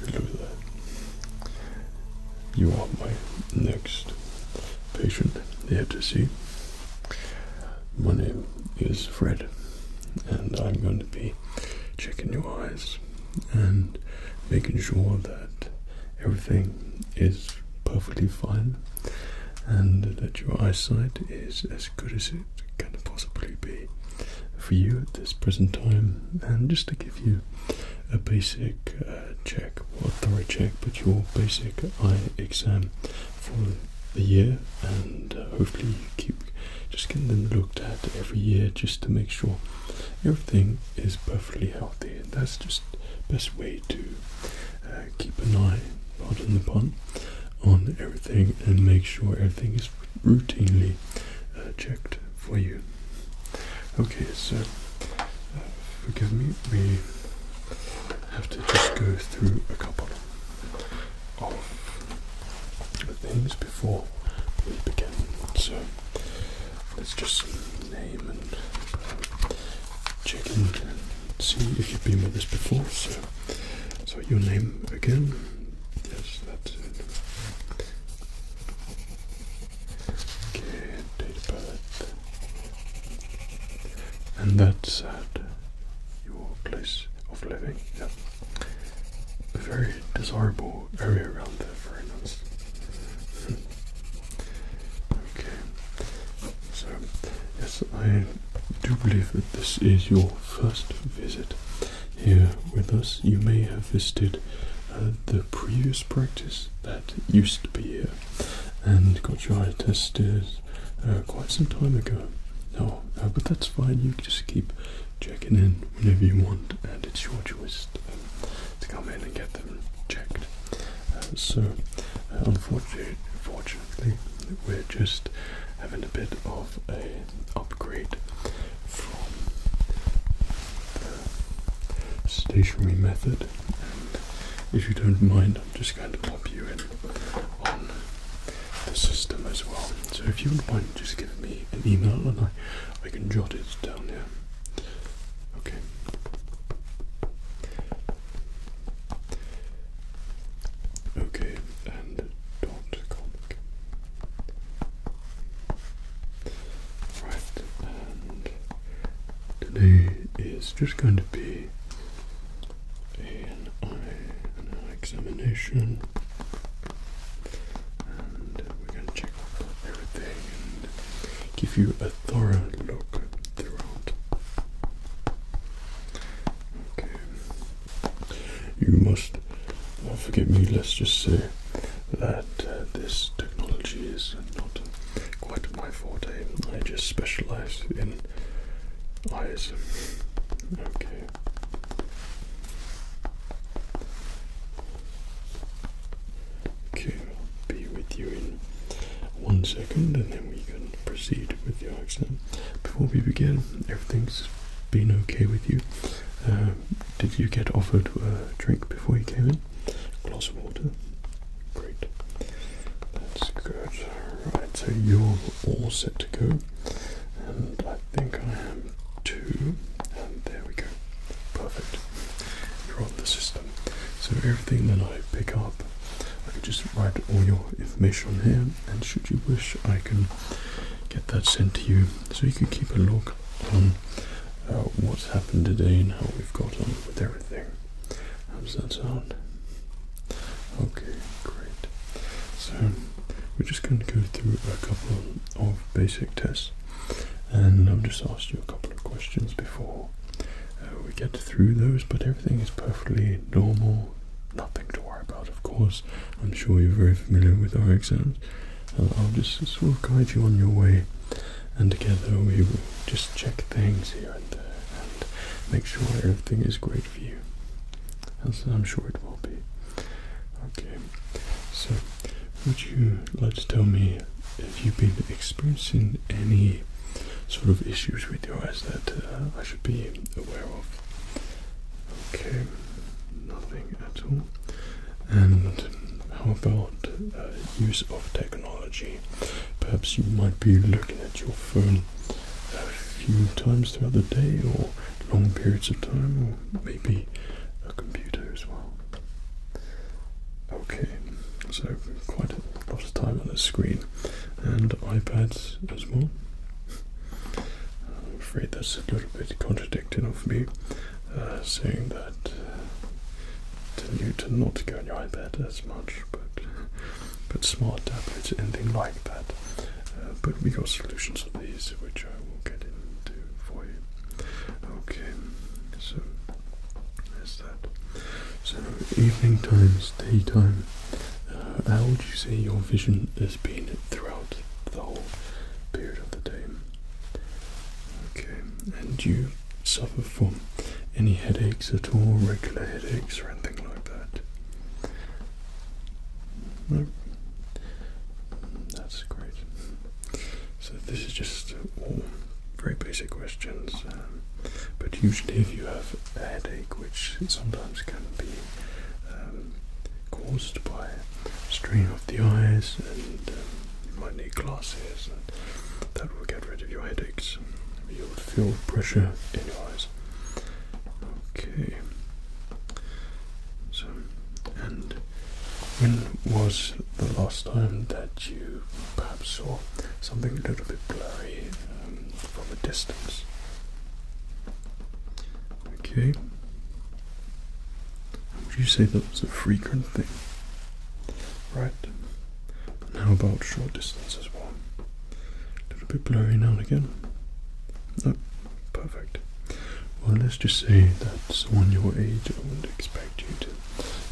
Look at You are my next patient here to see. My name is Fred, and I'm going to be checking your eyes and making sure that everything is perfectly fine and that your eyesight is as good as can possibly be for you at this present time, and just to give you a basic uh, check, or a thorough check, but your basic eye exam for the year, and uh, hopefully keep just getting them looked at every year just to make sure everything is perfectly healthy. That's just best way to uh, keep an eye, pardon the on everything and make sure everything is routinely uh, checked for you. Okay, so uh, forgive me, we have to just go through a couple of things before we begin. So let's just name and uh, check and see if you've been with us before. So, so your name again Yes, that's it. Okay, data palette. And that's at your place of living. Yeah. A very desirable area around there, very hmm. okay. So yes, I do believe that this is your first visit here with us. You may have visited uh, the previous practice that used to be here and got your eye tested uh, quite some time ago. No, uh, but that's fine. You just keep checking in whenever you want, and it's your choice to, um, come in and get them checked. Uh, so, unfortunately, unfortunately, we're just having a bit of a upgrade from the stationary method. And if you don't mind, I'm just going to pop you in on the system as well. So if you wouldn't mind just giving me an email and I, I can jot it down here. Okay. Okay, and dot comic. Right, and today is just going to be an eye, an examination, and we're going to check everything give you a thorough look throughout. Okay, you must uh, forgive me, let's just say that uh, this technology is not quite my forte. I just specialize in eyes. Okay. Okay, I'll be with you in one second and then we can proceed with the exam. Before we begin, everything's been okay with you. Uh, did you get offered a drink before you came in? glass of water? Great. That's good. Right, so you're all set to go. And I think I am two. And there we go. Perfect. You're on the system. So everything that I pick up, I can just write all your information here. And should you wish, I can get that sent to you so you can keep a log Hmm. Uh, what's happened today and how we've got on with everything. How does that sound? Okay, great. So we're just going to go through a couple of basic tests, and I've just asked you a couple of questions before uh, we get through those. But everything is perfectly normal. Nothing to worry about, of course. I'm sure you're very familiar with our exams. I'll just sort of guide you on your way, and together we will just check things here and there and make sure everything is great for you, as I'm sure it will be. Okay, so would you like to tell me if you've been experiencing any sort of issues with your eyes that uh, I should be aware of? Okay, nothing at all. And how about use of technology? Perhaps you might be looking at your phone a few times throughout the day or long periods of time, or maybe a computer as well. Okay, so quite a lot of time on the screen and iPads as well. I'm afraid that's a little bit contradicting of me uh, saying that tell you to not go on your iPad as much, but but smart tablets, anything like that. Uh, but we got solutions for these, which I will get into for you. Okay, so there's that. So evening times, daytime. Uh, how would you say your vision has been throughout the whole period of the day? Okay, and you suffer from any headaches at all, regular headaches or anything like that? No? That's great. So, this is just all very basic questions, um, but usually, if you have a headache, which sometimes can be um, caused by strain of the eyes, and you um, might need glasses, that will get rid of your headaches. You will feel pressure in your eyes. Okay. So, and when was the last time that you perhaps saw something a little bit blurry um, from a distance? Okay. Would you say that was a frequent thing? Right. And how about short distances? as well? A little bit blurry now and again. No, perfect. Well, let's just say that on your age, I wouldn't expect you to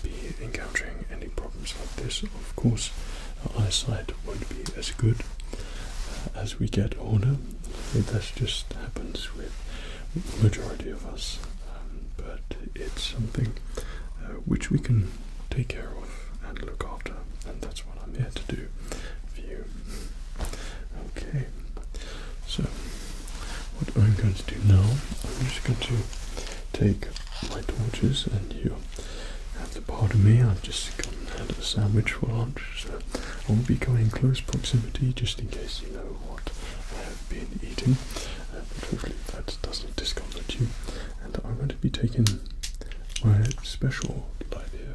be encountering any problems like this. Of course, our eyesight won't be as good uh, as we get older. That just happens with majority of us, um, but it's something uh, which we can take care of and look after, and that's what I'm here to do for Okay, so what I'm going to do now, I'm just going to take my torches, and you have to of me, I've just gone had a sandwich for lunch, so I'll not be going close proximity just in case you know what been eating, uh, but hopefully that doesn't discomfort you. And I'm going to be taking my special light here,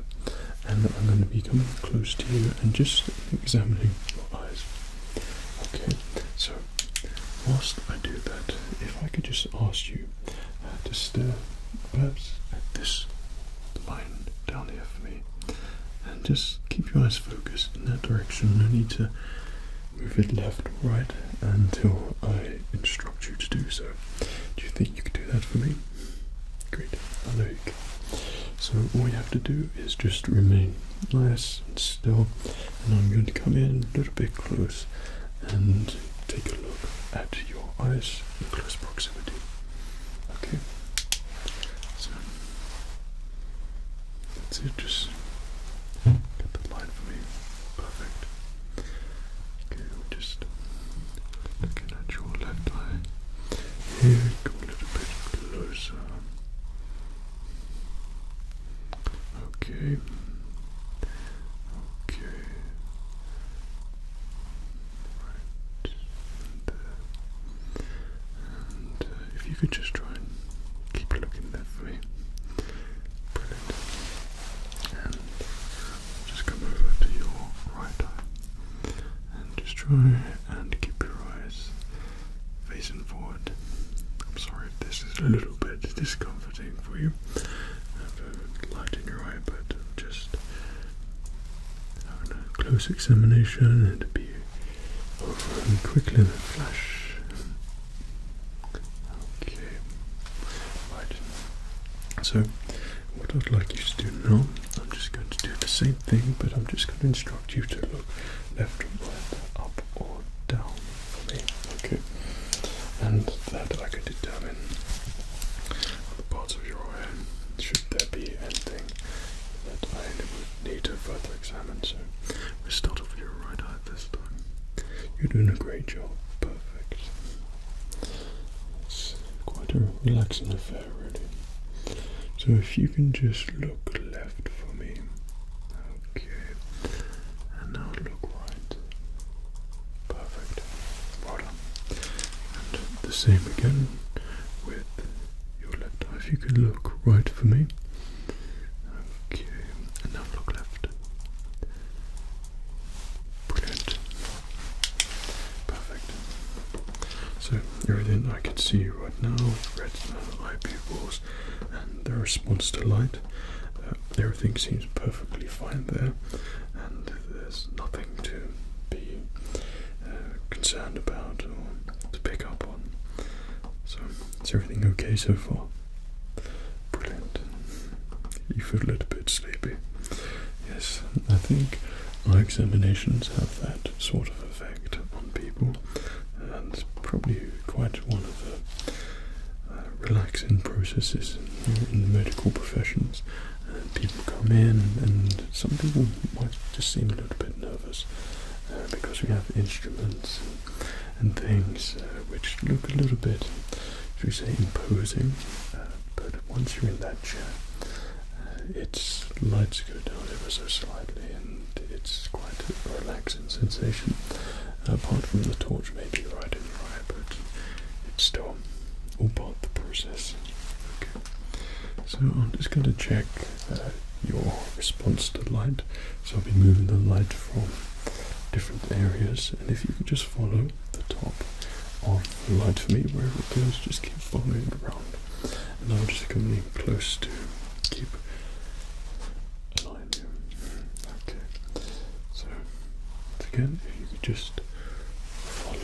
and I'm going to be coming close to you and just examining your eyes. Okay, so whilst I do that, if I could just ask you uh, to stare perhaps at this line down here for me. And just keep your eyes focused in that direction. No need to move it left or right until I instruct you to do so. Do you think you can do that for me? Great, I know you can. So all you have to do is just remain nice and still and I'm going to come in a little bit close and take a look at your eyes in close proximity. Okay. So Let's just get that line for me. Perfect. Okay, just looking at your left eye. Here, go a little bit closer. Okay. Okay. Right. Uh, uh, if you could just try and keep looking there for me. Brilliant. And just come over to your right eye. And just try and keep your eyes facing forward. I'm sorry if this is a little bit discomforting for you. I uh, have a light in your eye, but just having a close examination and be and quickly the flash. Okay. So what I'd like you to do now, I'm just going to do the same thing, but I'm just going to instruct you to look left, or right, up or down for me. Okay. And that I can determine the parts of your eye should there be anything that I would need to further examine, so we start off with your right eye this time. You're doing a great job, perfect. It's quite a relaxing affair, really. So if you can just look left for me, okay, and now look right, perfect. Well And the same again with your left If you could look right for me. Okay, and now look left. Brilliant. Perfect. So, everything I can see right now, retina, eye pupils, and the response to light. Uh, everything seems perfectly fine there, and there's nothing to be uh, concerned about or to pick up on. So, is everything okay so far? Brilliant. You feel a little bit sleepy. Yes, I think our examinations have that sort of effect on people, and it's probably quite one of the uh, relaxing processes in the medical professions. Uh, people come in, and some people might just seem a little bit nervous, uh, because we have instruments and things uh, which look a little bit, should we say, imposing. Uh, but once you're in that chair, its lights go down ever so slightly, and it's quite a relaxing sensation. Apart from the torch, maybe right in your eye, but it's still all part of the process. Okay, so I'm just going to check uh, your response to light. So I'll be moving the light from different areas, and if you can just follow the top of the light for me, wherever it goes, just keep following it around. And I'll just come in close to keep an you. Okay, so again, if you could just follow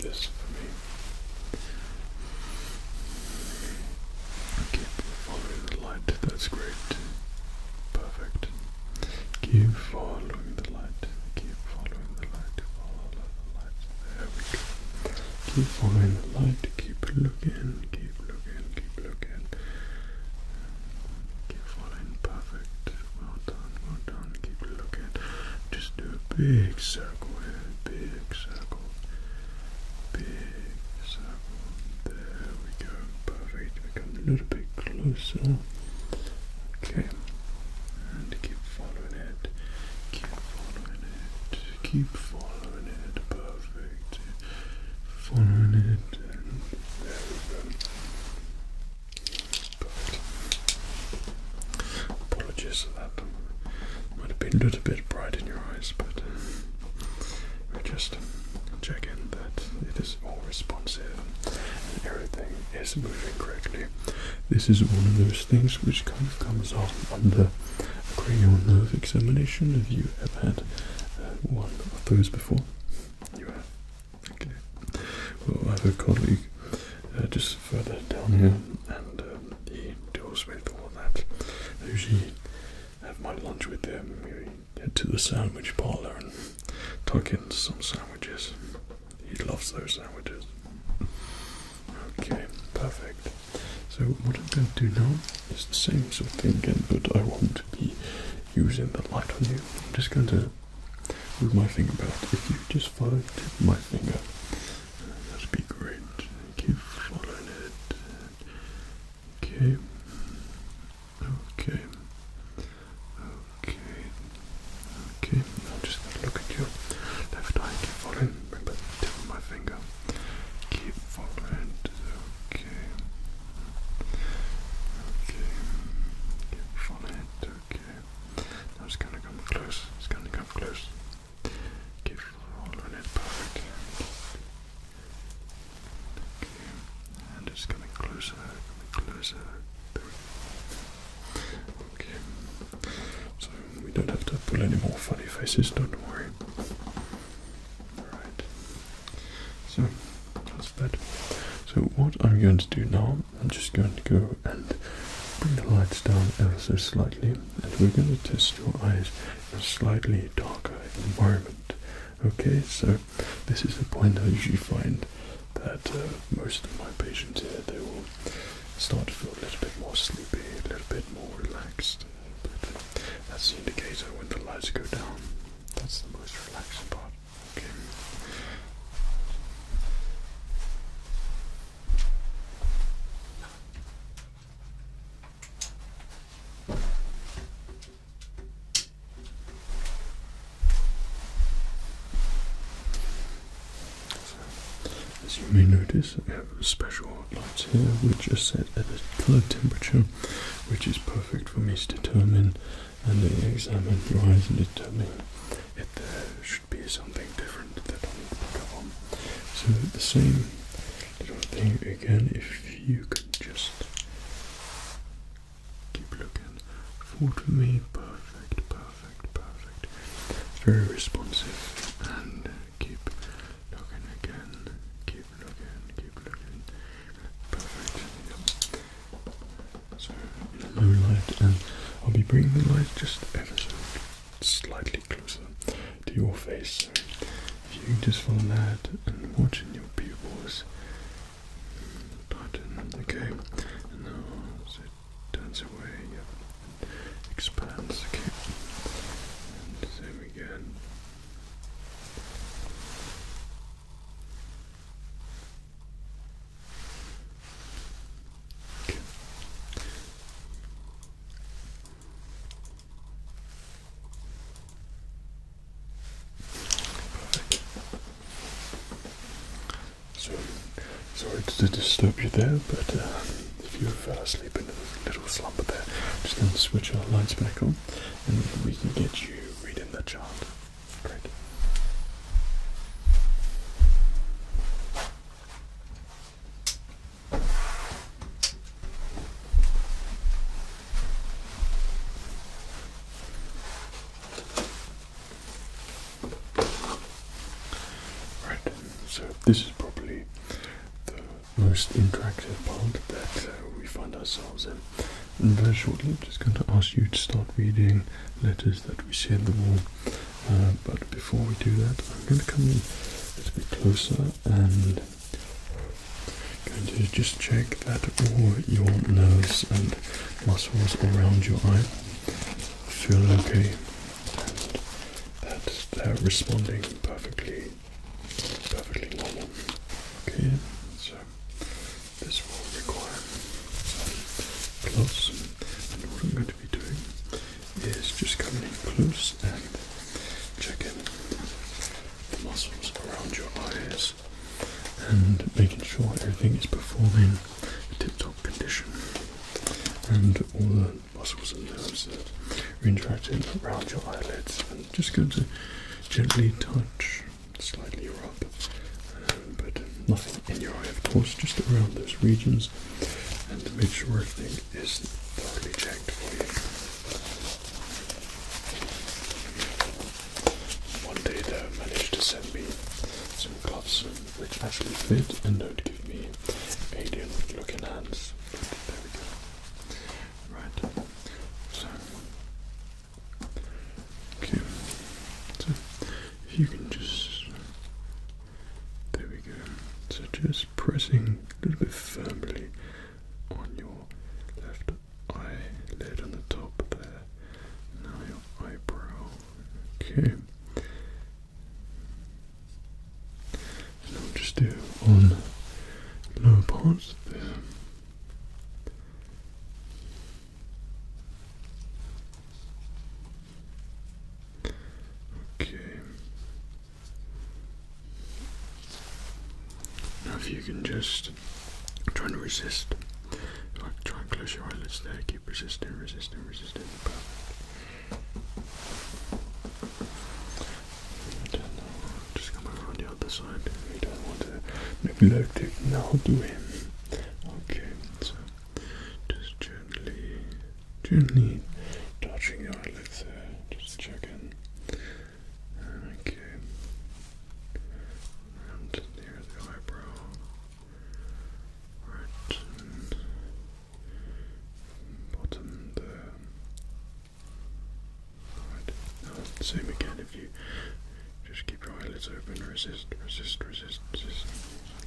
this for me. Keep following the light, that's great. Perfect. Keep following the light. Keep following the light. Follow the light. There we go. Keep following the light. Keep looking. Keep looking. Keep looking. Keep following. Perfect. Well done. Well done. Keep looking. Just do a big circle Big circle big There we go. Perfect. We come a little bit closer. Okay. And keep following it. Keep following it. Keep following it. Perfect. Following it. And there we go. Perfect. Apologies for that. Might have been a little bit bright in your eyes, but we just checking that it is all responsive and everything is moving correctly. This is one of those things which kind of comes up under a cranial nerve examination. Have you ever had uh, one of those before? You have. Okay. Well, I have a colleague uh, just further down here, and um, he deals with all that. Usually, have my lunch with them. We head to the sandwich parlor and tuck in some sandwiches. He loves those sandwiches. Okay, perfect. So what I'm going to do now is the same sort of thing again, but I won't be using the light on you. I'm just going to move my finger back. If you just follow my finger, that'd be great. Keep following it. Okay. Okay. Okay. Okay. I'm just gonna look at you. Left eye, keep following. Bring back the tip of my finger. Keep following. Okay. Okay. Keep following. Okay. Now it's gonna come close. It's gonna come close. Give rolling it back. Thank you. And just coming closer, coming closer. we Okay. So we don't have to pull any more funny faces, don't worry. Alright. So that's that. So what I'm going to do now, I'm just going to go and bring the lights down ever so slightly and we're going to test your eyes slightly darker environment. Okay, so this is the point I usually find that uh, most of my patients here they will start to feel a little bit more sleepy, a little bit more relaxed. that's uh, the indicator when the lights go down. That's the most relaxing part. Okay. As you may notice, I have special lights here which are set at a colour temperature which is perfect for me to determine and examine your eyes and determine if there should be something different that I need to pick So the same again if you could just keep looking forward to me. Perfect, perfect, perfect. Very responsive and keep looking again. Keep looking, keep looking. Perfect. So in a light and I'll be bringing the light just ever so slightly closer to your face if you can just follow that and watch in your pupils pattern, okay, and now as it turns away, it expands, okay, same again. Perfect. sorry to disturb you there, but uh, if you fell asleep in a little slumber there, just going to switch our lights back on and we can get you reading the chart. Great. Right, so this is probably the most interactive part that uh, we find ourselves in. very shortly, I'm just going to ask you to start reading letters that we see on the wall. Uh, but before we do that, I'm going to come in a little bit closer and Going to just check that all your nose and muscles around your eye feel okay and that they're responding perfectly, perfectly normal. Okay, so this will require some gloves, and what I'm going to be doing is just coming in close and checking the muscles around your eyes and making sure everything is performing in tip-top condition and all the muscles and nerves that are interacting around your eyelids and just going to gently touch, slightly rub, um, but nothing in your eye of course, just around those regions and to make sure everything is thoroughly checked for you. One day though managed to send me some gloves which actually fit and don't give me alien looking hands. Right. So Okay. So if you can just there we go. So just pressing a little bit firmly on your left eye lid on the top there. Now your eyebrow. Okay. And I'll just do on lower parts there. Okay. Now, if you can just try and resist, like try and close your eyelids there, keep resisting, resisting, resisting. Perfect. And i just come over on the other side. We don't want to neglect it now, do we? Okay, so just gently, gently touching your eyelids there, just in. Okay. And near the eyebrow. Right. bottom there. Right. Now, again if you just keep your eyelids open, resist, resist, resist, resist.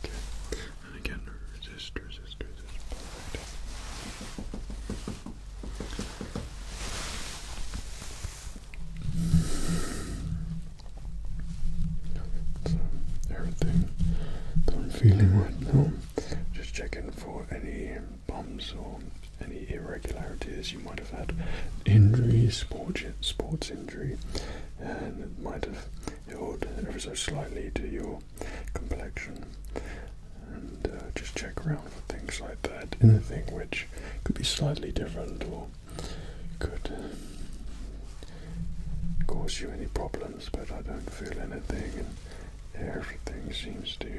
Okay. And again, resist, resist, resist. Perfect everything that I'm feeling right now. Just checking for any bumps or any irregularities you might have had. Injury, sports, sports injury, and it might have healed ever so slightly to your complexion and uh, just check around for things like that. Anything which could be slightly different or could cause you any problems, but I don't feel anything, and everything seems to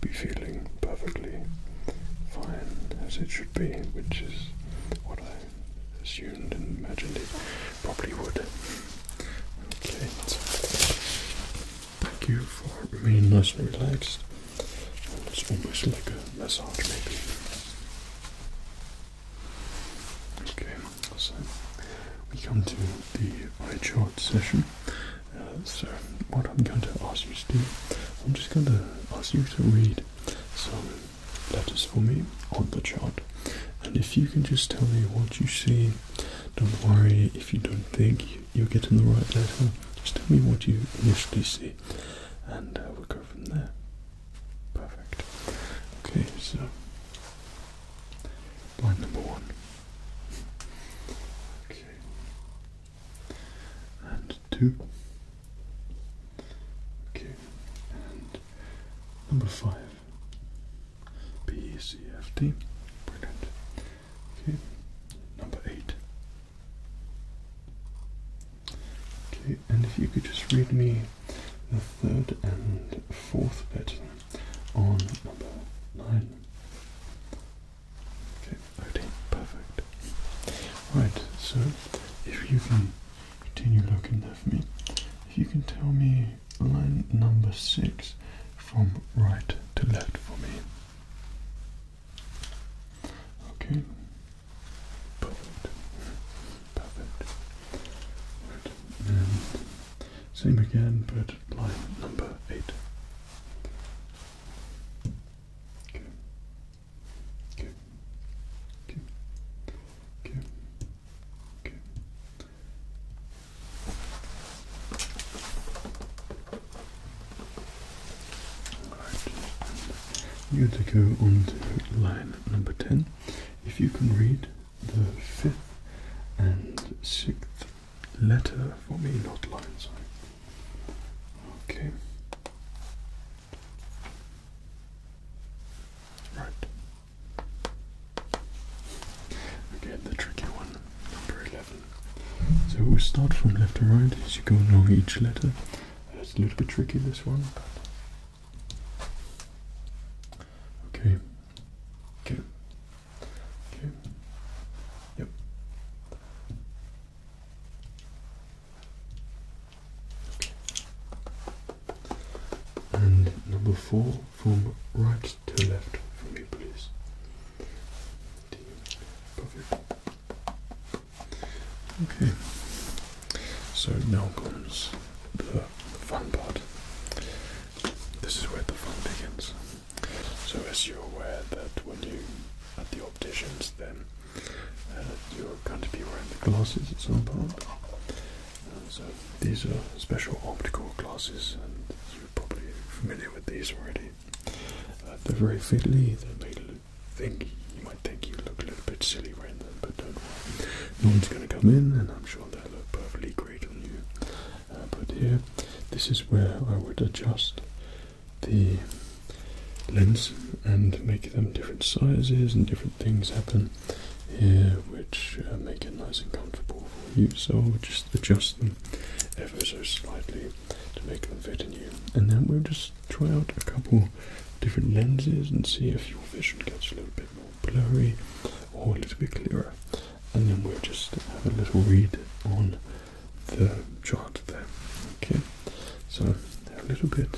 be feeling perfectly fine as it should be, which is what I assumed and imagined it probably would. Okay, Thank you for being nice and relaxed. It's almost like a massage, maybe. Okay, so we come to the eye chart session. Uh, so, what I'm going to ask you to do, I'm just going to ask you to read some letters for me on the chart. And if you can just tell me what you see, don't worry if you don't think you're getting the right letter. Just tell me what you initially see, and uh, we'll go from there. Perfect. Okay, so line number one. Okay, and two. Okay, and number five. B E C F D. Brilliant. Okay, number eight. Okay, and if you could just read me the third and fourth bit on number nine. Okay, okay, perfect. Right, so if you can continue looking there for me, if you can tell me line number six from right to left for me. Okay. Perfect. Perfect. Right. And same again, but line number eight. Okay. Okay. Okay. Okay. Okay. You have to go on to line number 10. If you can read the fifth and sixth letter for me, not line, sorry. Okay. Right. Again, the tricky one, number 11. So we start from left to right as you go along each letter. It's a little bit tricky this one, but okay. Okay. Okay. Yep. And number four from right to left for me, please. Okay. So now comes the fun part. This is where the fun begins. So, as you're aware that when you at the opticians, then uh, you're going to be wearing the glasses at some point. so these are special optical glasses, and you're probably familiar with these already they're very fiddly. They may look, think you might think you look a little bit silly wearing them, but don't worry. No one's going to come in, and I'm sure they'll look perfectly great on you. Uh, but here, this is where I would adjust the lens and make them different sizes and different things happen here, which uh, make it nice and comfortable for you. So i would just adjust them ever so slightly to make them fit in you. And then we'll just try out a couple different lenses and see if your vision gets a little bit more blurry or a little bit clearer. And then we'll just have a little read on the chart there. Okay, so a little bit,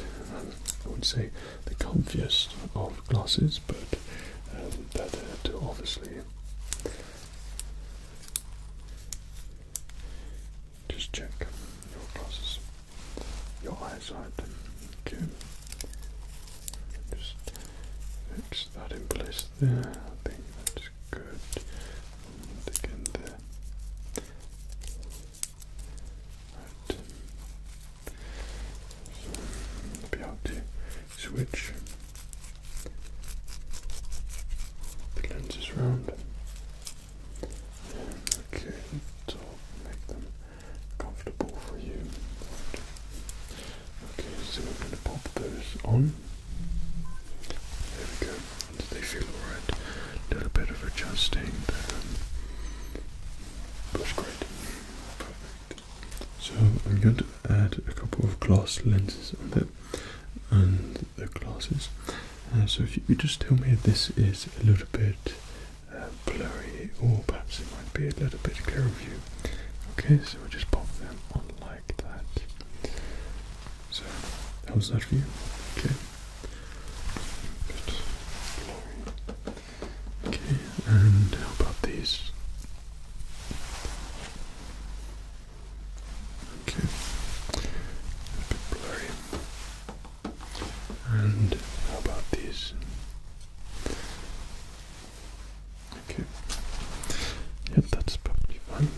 I would say, the comfiest of glasses, but um, that to obviously just check your glasses, your eyesight. Okay. Just fix that in place there. I think that's good. again there. Right. be able to switch the lenses is round. Okay, so make them comfortable for you. Okay, so we're going to pop those on. There we go. they feel alright. A little bit of adjusting. That's um, great. Perfect. So I'm going to add a couple of glass lenses on there and the glasses. Uh, so if you could just tell me this is a little bit uh, blurry or perhaps it might be a little bit clearer view. Okay, so we'll just pop them on like that. So, how's that for you? Okay. Okay, and how about these? Okay. A bit blurry. And how about these? Okay. Yep, that's probably fine.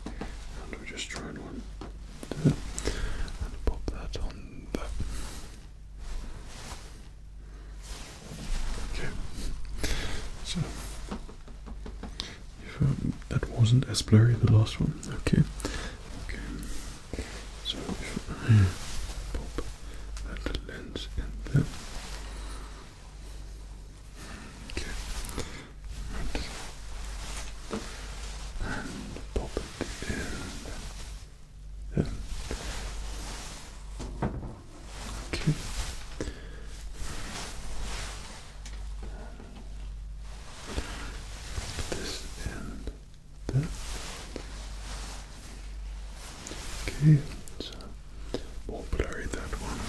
And we just trying one there. And pop that on there. Okay. So if um, that wasn't as blurry the last one, okay. Okay. So if I pop that lens in there. Okay. Right. And pop it in there. Okay. This and that. Okay, it's more blurry that one.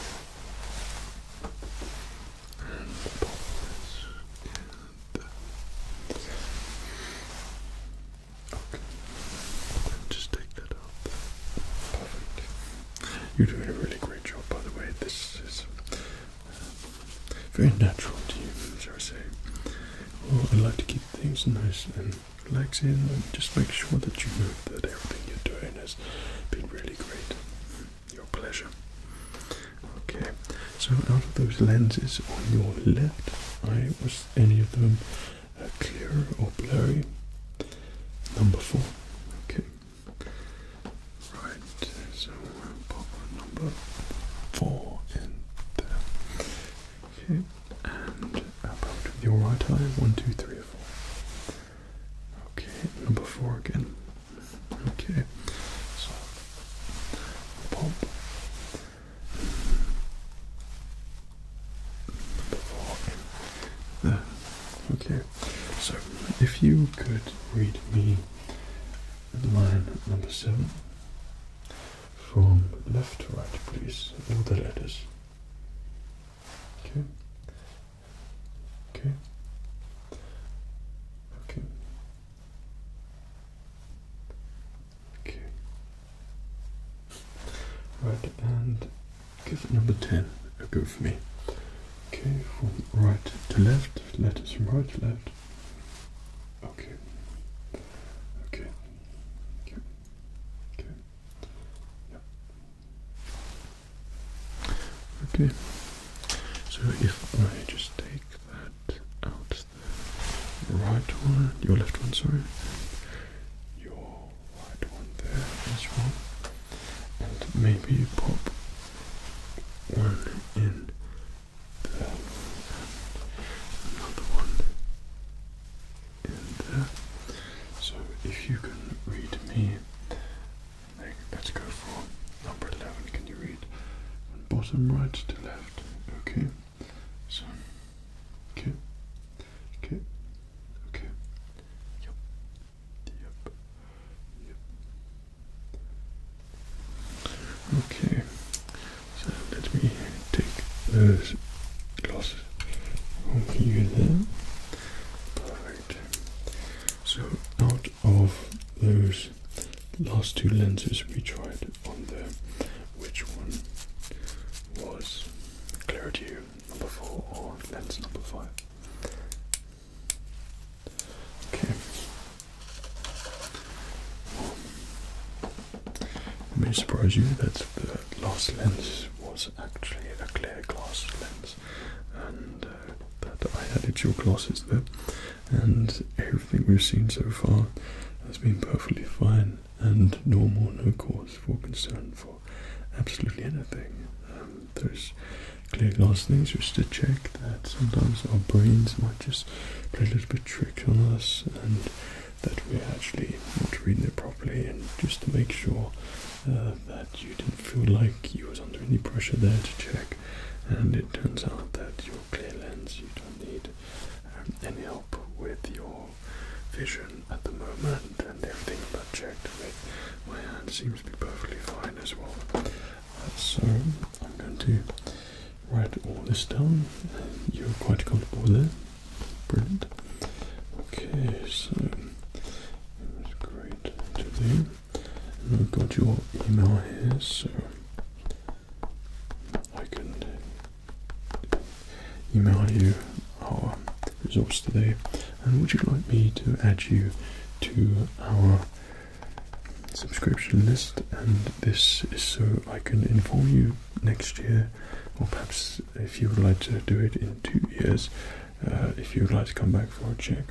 And pop this and Okay, just take that out. Perfect. You're doing a really great job, by the way. This is uh, very natural to you, as I say. Well, I like to keep things nice and relaxing and just make sure that you know that everything you're doing has been really great. Your pleasure. Okay, so out of those lenses on your left, eye, was any of them uh, clear or blurry? Number four. Okay, Right, so we'll pop number four in there. Okay, and about with your right eye, one, two, three, four. Okay, number four again. Okay, so pop. Number four in there. Okay, so if you could read me line number seven from left to right, please, all the letters. Okay, okay, okay, okay. Right, and give number ten a go for me. Okay, from right to left, letters from right to left. Okay. Okay. Okay. Okay. Yep. Okay. So if I just take that out the right one, your left one, sorry. Your right one there as well. And maybe pop one in there. And another one in there. So if you can read me, let's go for number 11. Can you read from bottom right to left? Okay. So, okay. Okay. Okay. Yep. Yep. Okay. So let me take those glasses from you there. Perfect. So out of those last two lenses we tried on there, which one was clarity number four or lens number five? Okay. It may surprise you that the last lens was actually a clear glass lens, and uh, that I added to your glasses there, and everything we've seen so far has been perfectly fine and normal, no cause for concern for absolutely anything. Um, there's clear glasses just to check that sometimes our brains might just play a little bit trick on us and that we're actually not reading it properly and just to make sure uh, that you didn't feel like you was under any pressure there to check and it turns out that your clear lens you don't need um, any help with your vision at the moment and everything about checked my hand seems to be perfectly fine as well so I'm going to write all this down. You're quite comfortable there. Brilliant. Okay, so it's great to do. I've got your email here, so I can email you our results today. And would you like me to add you to our subscription list and this is so I can inform you next year or perhaps if you would like to do it in two years uh, if you would like to come back for a check.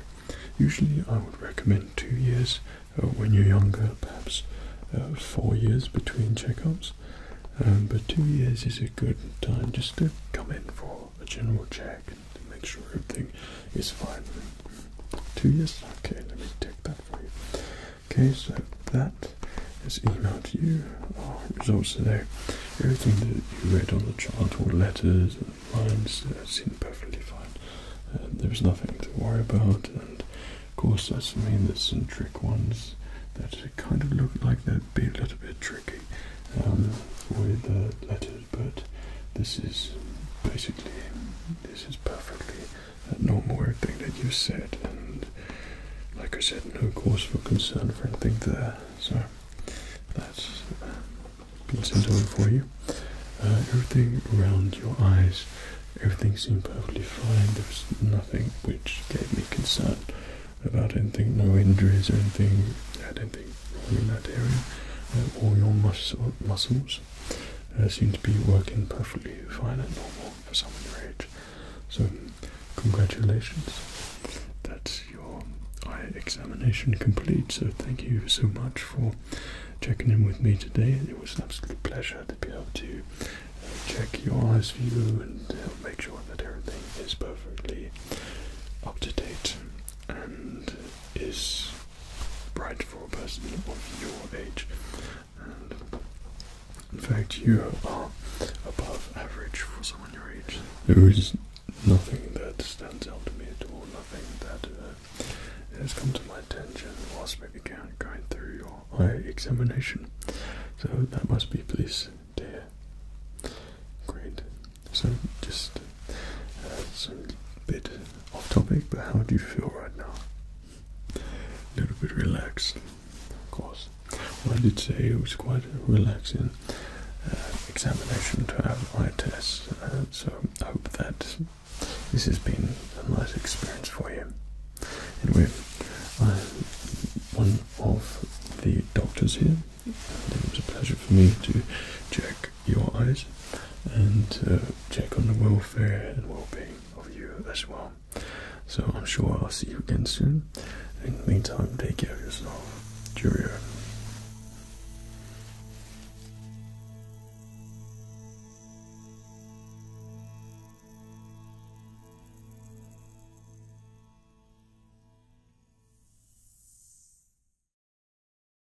Usually I would recommend two years uh, when you're younger, perhaps uh, four years between checkups. Um, but two years is a good time just to come in for a general check to make sure everything is fine. Two years? Okay, let me take that for you. Okay, so that is emailed to you. Oh, results there. Everything that you read on the chart, all letters and lines, uh, perfectly fine. Uh, there's nothing to worry about, and of course, that's I mean there's some trick ones that kind of look like they'd be a little bit tricky um, with uh, letters but this is basically this is perfectly a normal thing that you said, and like I said, no cause for concern for anything there. So that's uh, been sent over for you. Uh, everything around your eyes, everything seemed perfectly fine. There was nothing which gave me concern about anything, no injuries or anything in that area. Uh, all your mus muscles uh, seem to be working perfectly fine and normal for someone your age. So, congratulations. That's your eye examination complete. So, thank you so much for checking in with me today. It was an absolute pleasure to be able to uh, check your eyes view and make sure that everything is perfectly up to date and is bright for a person of your age. in fact, you are above average for someone your age. There is nothing that stands out to me at all, nothing that uh, has come to my attention whilst maybe going through your eye examination. So that must be pleased to Great. So just a bit off topic, but how do you feel right now? A little bit relaxed, of course. Well, I did say it was quite a relaxing uh, examination to have my test, uh, so I hope that this has been a nice experience for you. Anyway, I'm one of the doctors here, it was a pleasure for me to check your eyes and uh, check on the welfare and well-being of you as well. So I'm sure I'll see you again soon. In the meantime, take care of yourself. Cheerio.